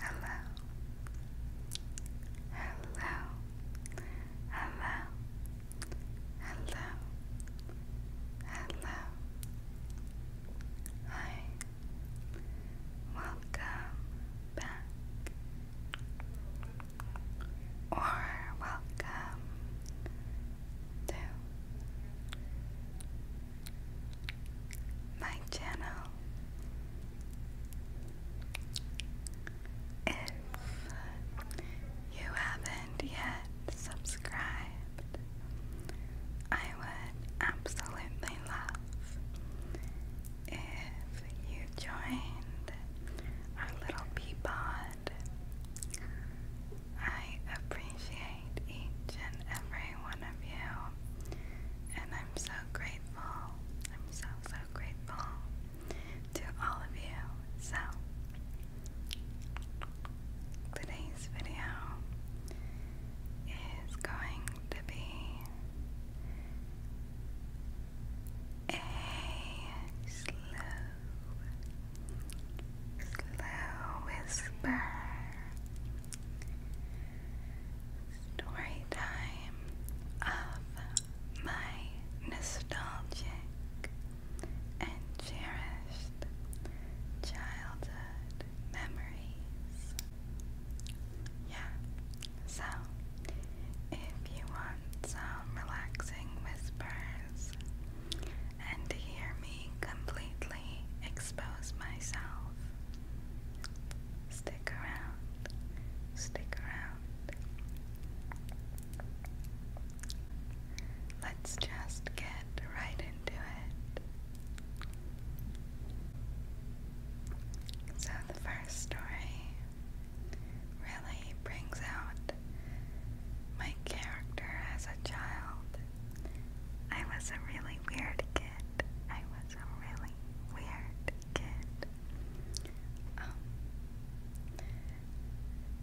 Hello. Hello. Hello. Hello. Hello. Hi. Welcome back. Or welcome to my channel if you haven't yet subscribed, I would absolutely love if you joined our little Peapod I appreciate each and every one of you, and I'm so grateful. I'm so, so grateful to all of you. So, today's video is going to be a slow, slow whisper. Story time of my nostalgic and cherished childhood memories. Yeah, so if you want some relaxing whispers and to hear me completely expose myself. Stick around, stick around. Let's just get right into it. So, the first story really brings out my character as a child I was a really weird kid. I was a really weird kid. Um,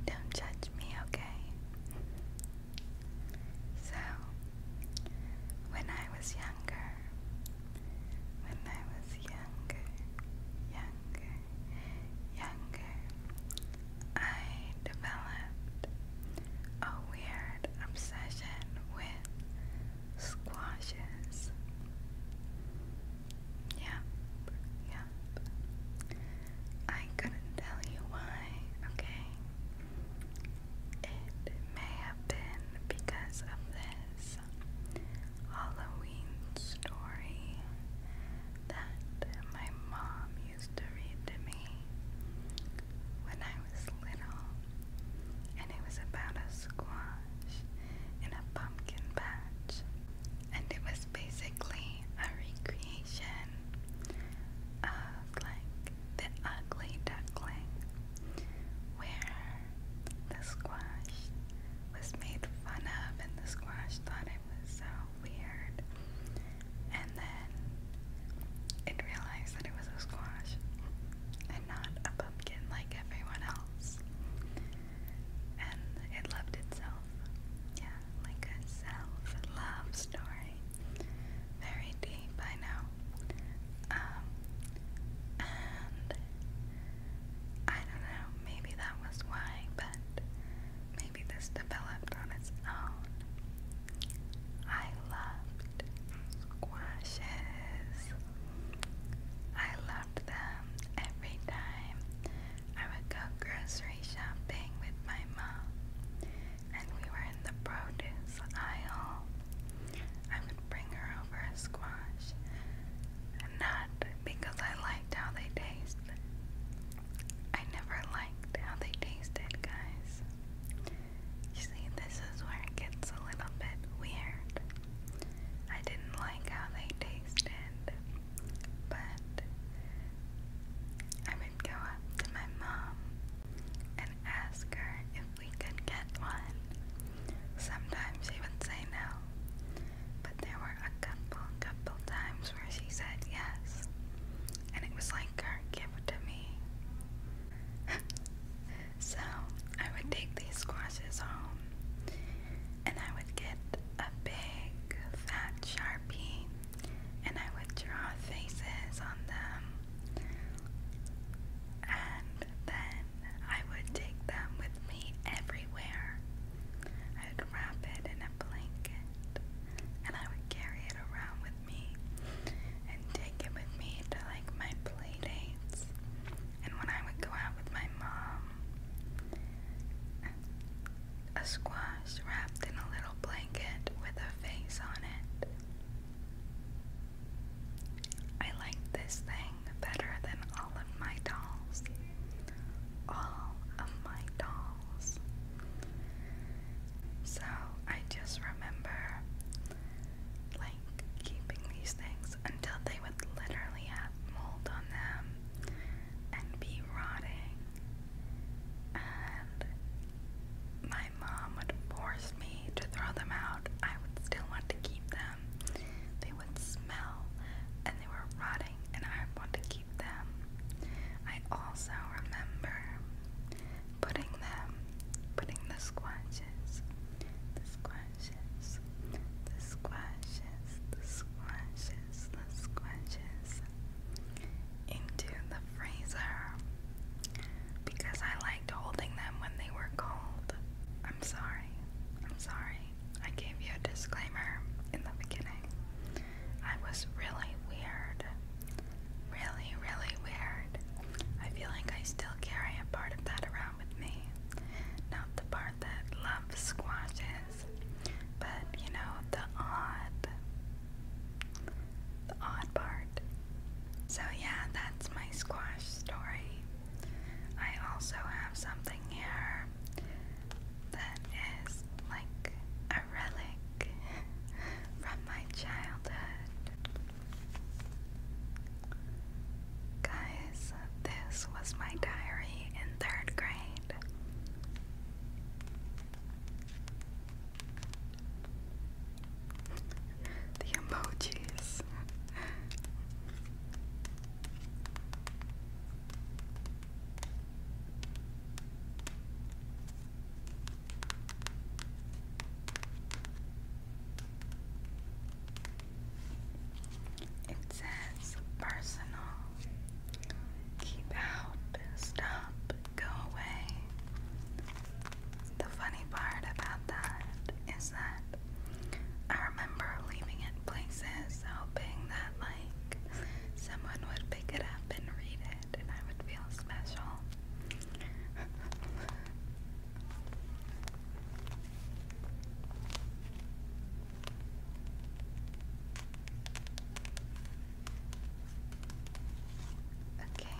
don't judge me, okay? So, when I was younger, when I was younger, younger, younger, I developed a weird obsession with squashes. Yep, yep. I couldn't tell you why, okay? It may have been because of this Halloween story that my mom used to read to me when I was little, and it was about a squash in a pumpkin patch, and it was basically a recreation of like the ugly duckling, where the squash was made fun of, and the squash thought it was so weird and then it realized that it was a squash and not a pumpkin like everyone else. And it loved itself. Yeah, like a self love story. Very deep, I know. Um, and I don't know, maybe that was why, but Maybe this developed on its own. I loved squashes. I loved them every time I would go grocery shopping with my mom and we were in the produce aisle. I would bring her over a squash. Not because I liked how they taste. I never liked how they tasted, guys. You see, this is where it gets a little bit weird. I didn't like how they tasted, but I would go up to my mom and ask her if we could get one. Sometimes she would say no, but there were a couple, couple times where she said yes and it was like her gift to me. so I would take these squashes home and I would get a big fat sharpie and I would draw faces on them and then I would take them with me everywhere. I would wrap it in a blanket and I would carry it around with me and take it with me to like my play And when I would go out with my mom, a squash wrapped in a little blanket with a face on it. I liked this thing better than all of my dolls. All of my dolls. So I just remember like keeping these things until they would literally have mold on them and be rotting. And my mom would force me to throw them out. I would still want to keep them. They would smell and they were rotting and I wanted to keep them. I also remember putting them, putting the squashes, the squashes, the squashes, the squashes, the squashes into the freezer because I liked holding them when they were cold. I'm sorry. I'm sorry. I gave you a disclaimer in the beginning. I was really weird. Really, really weird. I feel like I still carry a part of that around with me. Not the part that love squashes, but you know, the odd, the odd part. So, yeah, that's my squash story. I also have something here that is like a relic from my childhood. Guys, this was my diary in third grade. The emojis. It says personal. Keep out, stop, go away. The funny part about that is that I remember leaving it places hoping that, like, someone would pick it up and read and I would feel special. okay,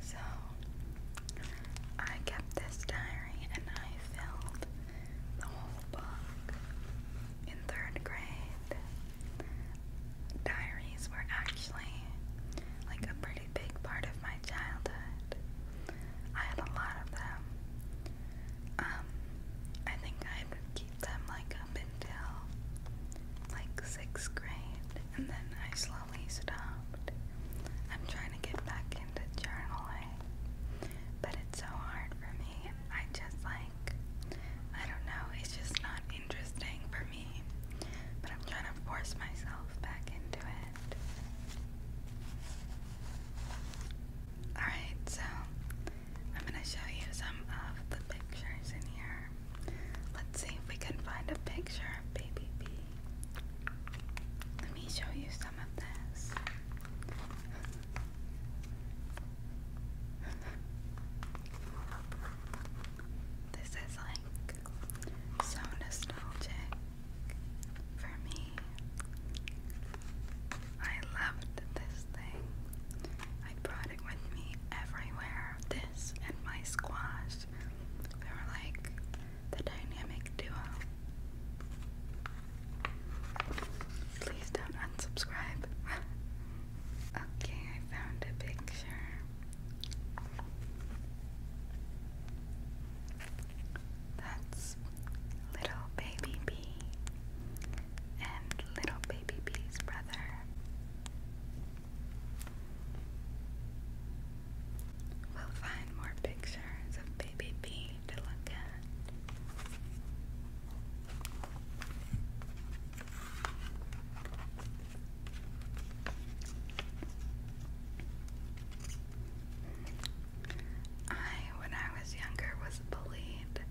so I kept this diary and I filled the whole book in third grade diaries were actually like a pretty big part of my childhood. I had a lot of them. Um, I think I would keep them like up until like sixth grade, and then I slowly stopped. I'm trying to get back into journaling, but it's so hard for me, I just like, I don't know, it's just not interesting for me. But I'm trying to force myself back into it. Alright, so I'm gonna show you some of the pictures in here. Let's see if we can find a picture of Baby Bee. Let me show you some of this. This is like so nostalgic for me. I loved this thing. I brought it with me everywhere. This and my squash. We were like the dynamic duo. Please don't unsubscribe. okay, I found a picture. That's little baby bee and little baby bee's brother. We'll find more pictures of baby bee to look at. I, when I was younger, was bullied,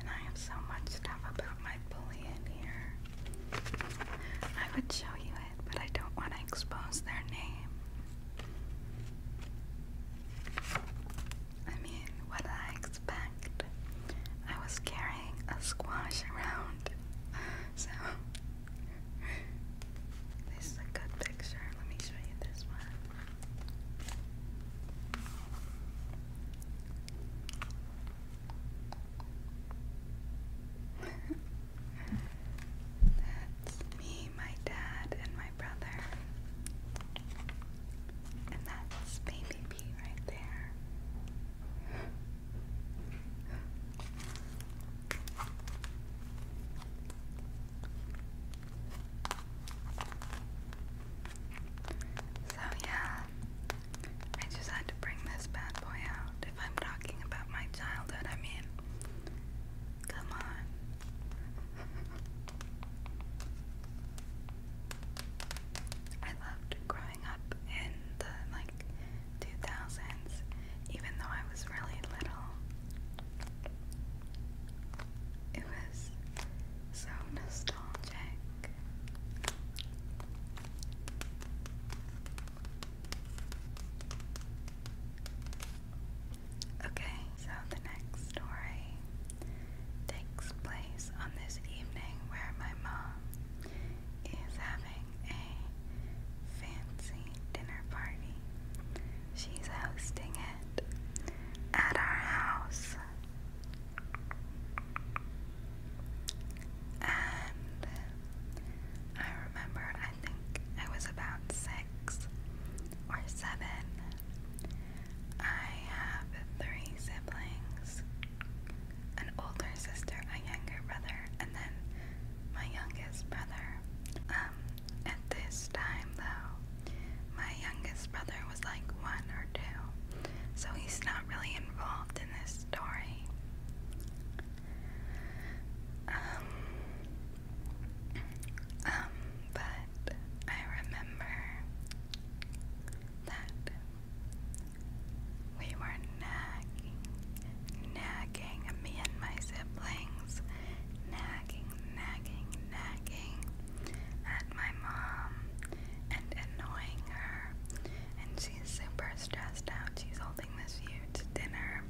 and I have so much stuff about my bullying here. I would show you it, but I don't want to expose their name. I mean, what I expect? I was carrying a squash around. So, this is a good picture. Let me show you this one. that's me, my dad, and my brother. And that's baby pee right So, yeah, I just had to bring this bad boy out. If I'm talking about my childhood, I mean, come on. I loved growing up in the like 2000s, even though I was really little. It was so nostalgic. Okay, so the next story takes place on this evening where my mom is having a fancy dinner party. She's hosting it at our house. And I remember, I think I was about six or seven, I have three siblings an older sister, a younger brother, and then my youngest brother. Um, at this time, though, my youngest brother was like one or two, so he's not really involved in this story. Um, um, but I remember that we were nagging, nagging me and my siblings, nagging, nagging, nagging at my mom and annoying her. And she's super stressed out. She's holding this huge dinner,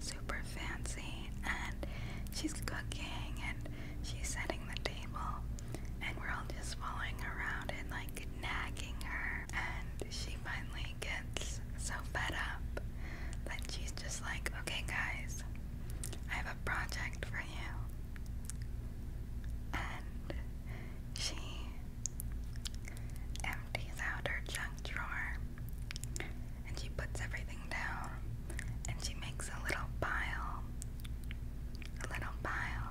super fancy, and she's cooking and she's setting the table, and we're all just following around and like nagging her. And she finally gets so fed up that she's just like, okay, guys, I have a project for you. And she empties out her junk drawer and she puts everything down and she makes a little pile a little pile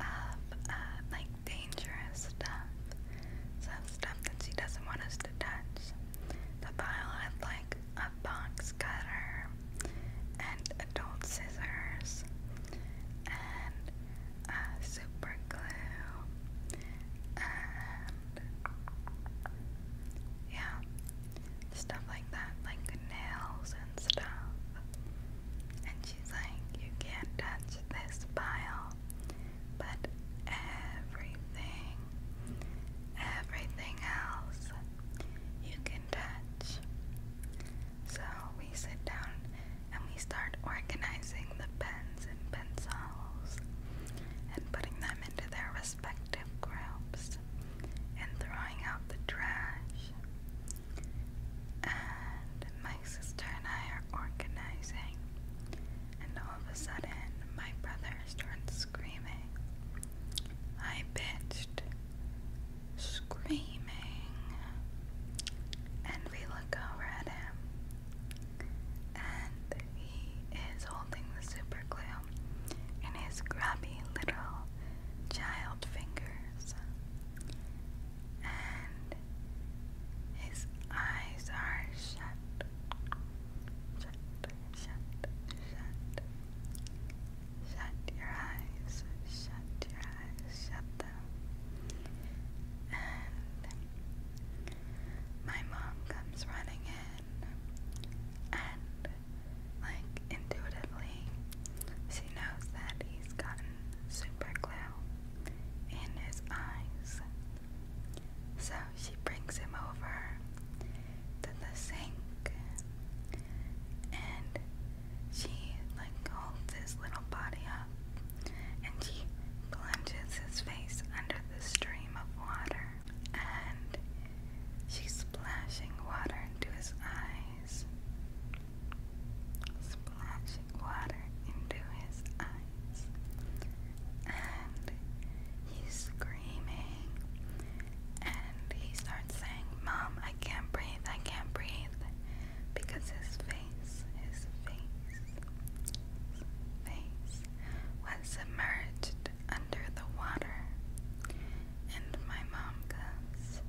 of uh, like dangerous stuff, some stuff that she doesn't want us to touch. The pile had like a box cutter and adult scissors and uh, super glue and yeah, stuff like that, like nails and stuff. And she's like, You can't touch this pile. But everything, everything else you can touch. So we sit down and we start organizing the pens and pencils and putting them into their respective groups and throwing out the trash. And my sister and I are organizing, and all of a sudden, my brother starts screaming. I pitched, screaming, and we look over at him, and he is holding the super glue in his grubby little child fingers, and his eyes are shut, shut, shut, shut. Shut your eyes, shut your eyes, shut And my mom comes running in, and like intuitively, she knows that he's gotten super in his eyes. So she brings him over to the sink and she like holds his little body up and she plunges his face under the stream of water and she's splashing water into his eyes. Splashing water into his eyes. And he's screaming. And he starts saying, Mom, I can't breathe, I can't breathe. Because his face, his face, his face was submerged under the water, and my mom goes,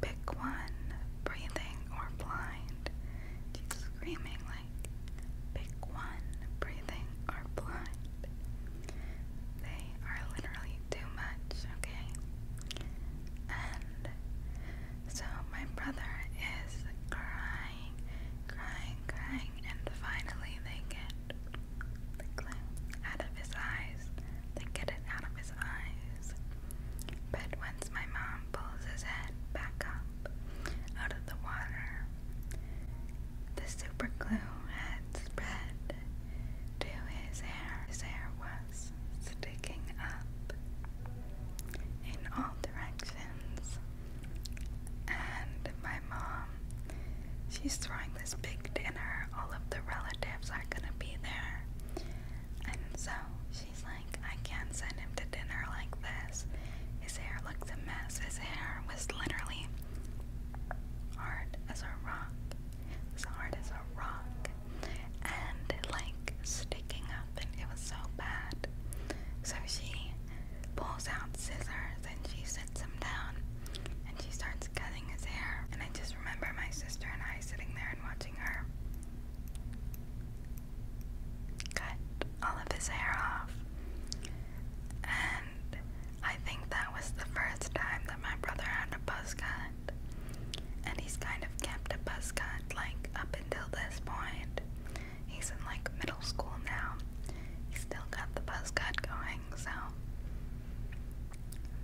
Pick one, breathing or blind. She's screaming like, Pick one, breathing or blind. They are literally too much, okay? And so my brother is crying, crying, crying, and finally they get out of his eyes, then get it out of his eyes. But once my mom pulls his head back up out of the water, the super glue had spread to his hair. His hair was sticking up in all directions, and my mom she's throwing this big dinner. All of the relatives are gonna be there. And so she's like, I can't send him to dinner like this. His hair looks a mess. His hair was literally hard as a rock. It was hard a rock. And like sticking up, and it was so bad. So she pulls out scissors and she sits down and she starts cutting his hair. And I just remember my sister and I sitting there and watching her cut all of his hair off. And I think that was the first time that my brother had a buzz cut. And he's kind of kept a buzz cut like up until this point. He's in like middle school now. He's still got the buzz cut going, so.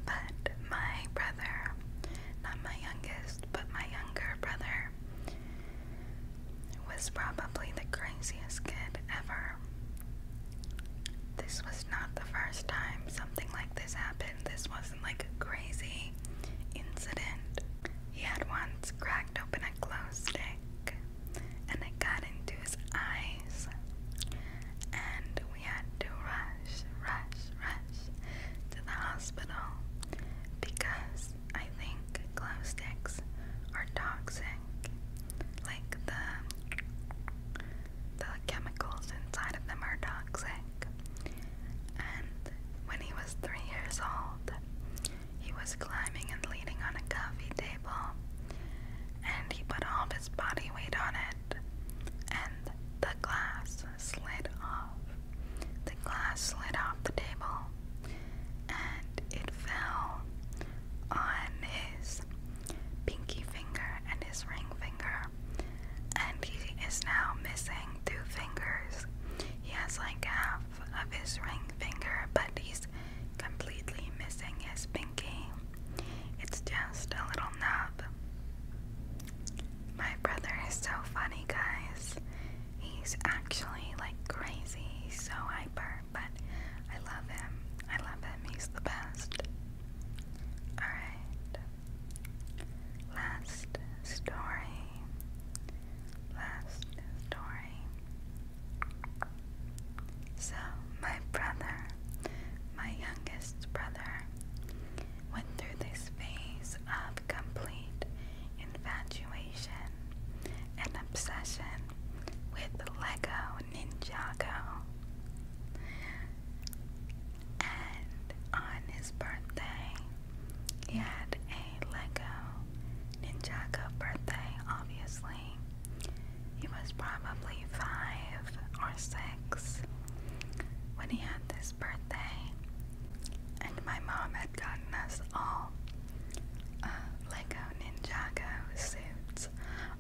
But my brother, not my youngest, but my younger brother, was probably the craziest kid ever. This was not the first time something like this happened. This wasn't like a crazy incident. He had once cracked open a glow stick and it got into his eyes. And we had to rush, rush, rush to the hospital because I think glow sticks are toxic. Like the the chemicals inside of them are toxic. And when he was three years old, he was climbing and leaning on a coffee table and he put all his body weight on it, and the glass slid off. The glass slid off the table, and it fell on his pinky finger and his ring finger, and he is now missing two fingers. He has like half of his ring finger, but he's completely missing his pinky it's just a little nub. My brother is so funny, guys. He's actually like crazy. He's so hyper, but I love him. I love him. He's the best. Alright. Last story. Last story. So, my brother, my youngest brother, went through this phase of complete infatuation and obsession with Lego Ninjago. And on his birthday, he had a Lego Ninjago birthday, obviously. He was probably five or six when he had this birthday, and my mom had gotten us all uh, Lego Ninjago suits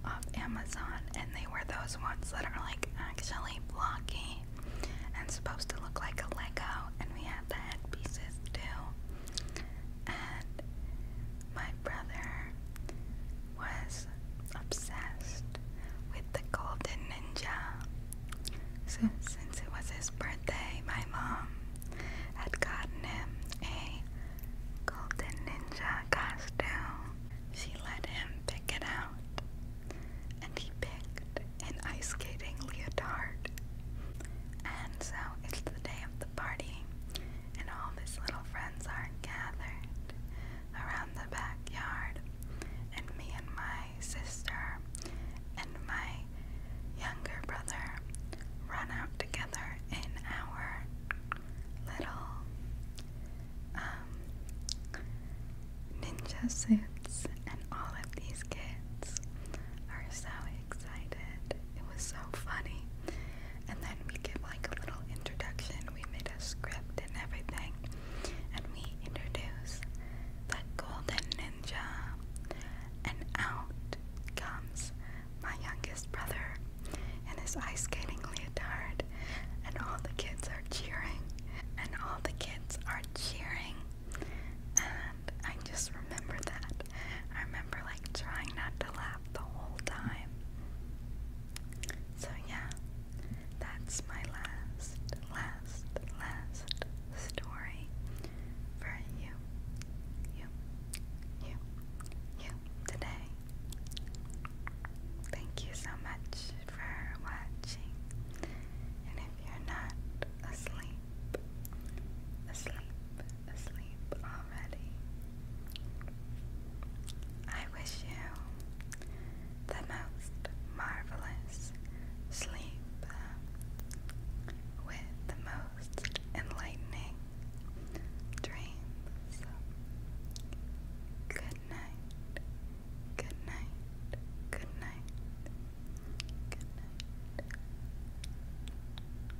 off Amazon, and they were those ones that are like actually blocky and supposed to look like a Lego, and we had the headpieces too. And my brother was obsessed with the Golden Ninja. So, since it was his birthday, my mom had gotten him a Golden Ninja costume. She let him pick it out, and he picked an ice skating leotard. And so, it's the day of the party, and all his little friends are gathered around the backyard, and me and my sister and my younger brother run out together in our little um, ninja suits, and all of these kids are so excited. It was so funny. And then we give like a little introduction. We made a script and everything. And we introduce the golden ninja. And out comes my youngest brother in his ice skating leotard. And all the kids are cheering. And all the kids are cheering. And I just remember that. I remember like trying not to laugh the whole time. So yeah, that's my last, last, last story for you, you, you, you today. Thank you so much for watching. And if you're not asleep, asleep, asleep I wish you the most marvelous sleep uh, with the most enlightening dreams. Good night, good night, good night, good night.